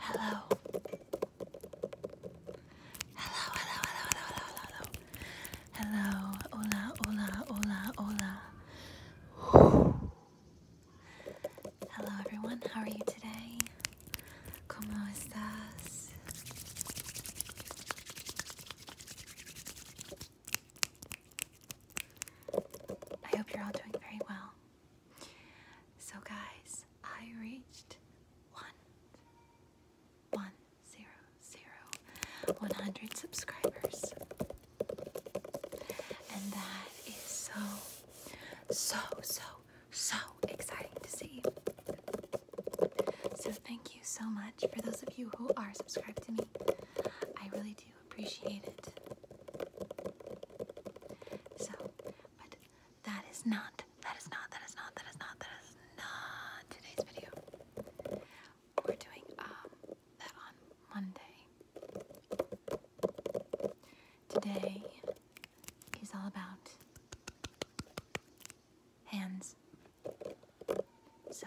Hello. Hello, hello, hello, hello, hello, hello. Hola, hola, hola, hola. Hello everyone, how are you today? Como estas? I hope you're all doing very well. So guys, I reached one one zero zero one hundred subscribers. And that is so so so so exciting to see. So thank you so much for those of you who are subscribed to me. I really do appreciate it. So, but that is not, that is not, that is not, that is not, that is not today's video. We're doing um, that on Monday. Today is all about hands. So,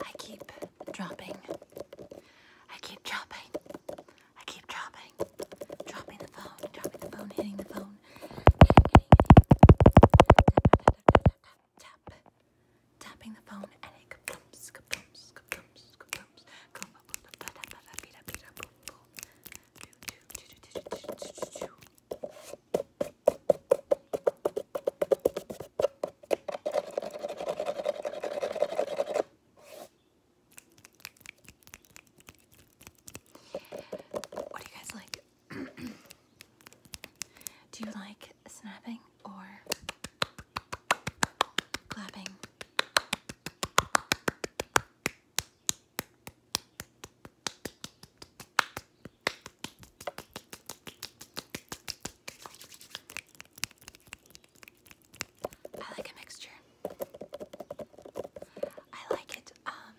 I keep dropping. I keep dropping. I keep dropping, dropping the phone, dropping the phone, hitting the phone, tap, tapping the phone, and it kaplumps, kaplumps, kaplumps, kaplumps, what do you guys like? do you like snapping or clapping? I like a mixture. I like it um,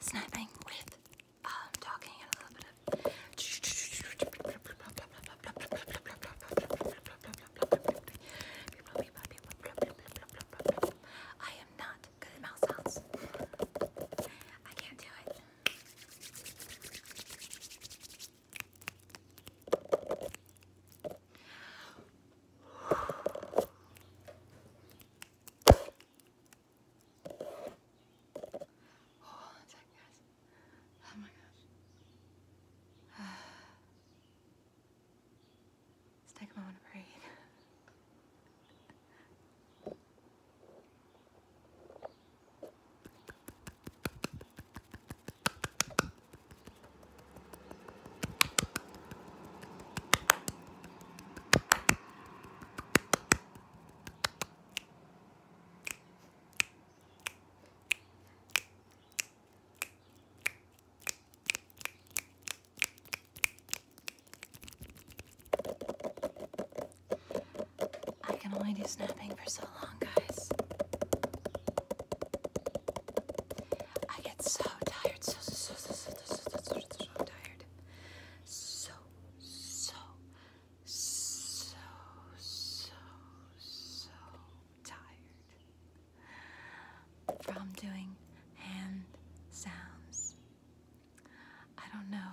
snapping with um, talking a little bit of. I am not I can't do it. Hold on a second, guys. Oh my gosh. Let's take a moment to breathe. I can only do snapping for so long, guys. I get so tired, so, so, so, so, so, so, so, so tired. So, so, so, so, so tired from doing hand sounds. I don't know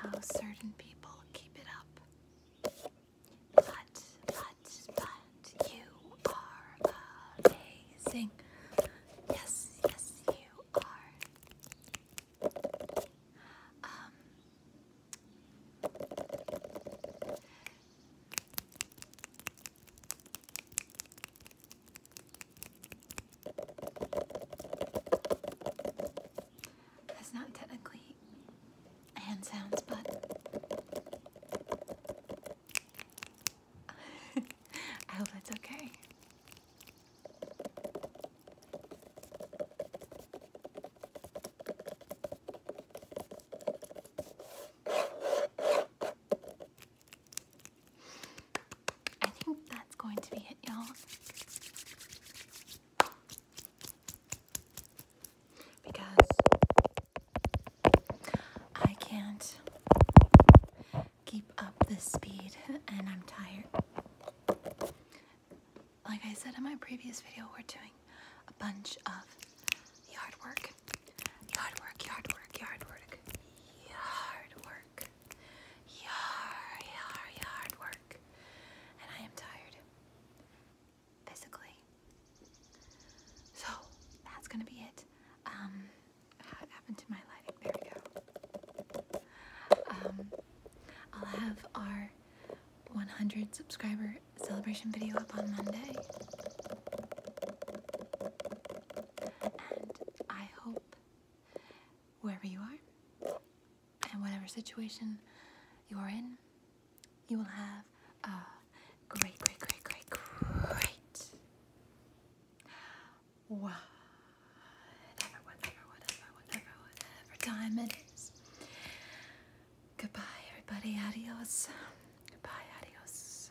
how certain people keep it up. But, but, but, you are amazing. Yes, yes, you are. Um, that's not technically hand sounds, but I hope that's okay. I think that's going to be it, y'all. Because I can't keep up this speed and I'm tired. Like I said in my previous video, we're doing a bunch of yard work. Yard work, yard work, yard work, yard work. Yar, yar, yard work. And I am tired. Physically. So, that's gonna be it. Um, happened to my lighting? There we go. Um, I'll have our 100 subscriber celebration video up on Monday. And I hope wherever you are, and whatever situation you are in, you will have a great, great, great, great, great. Wow. Whatever, whatever, whatever, whatever, whatever time it is. Goodbye, everybody. Adios. Goodbye, adios.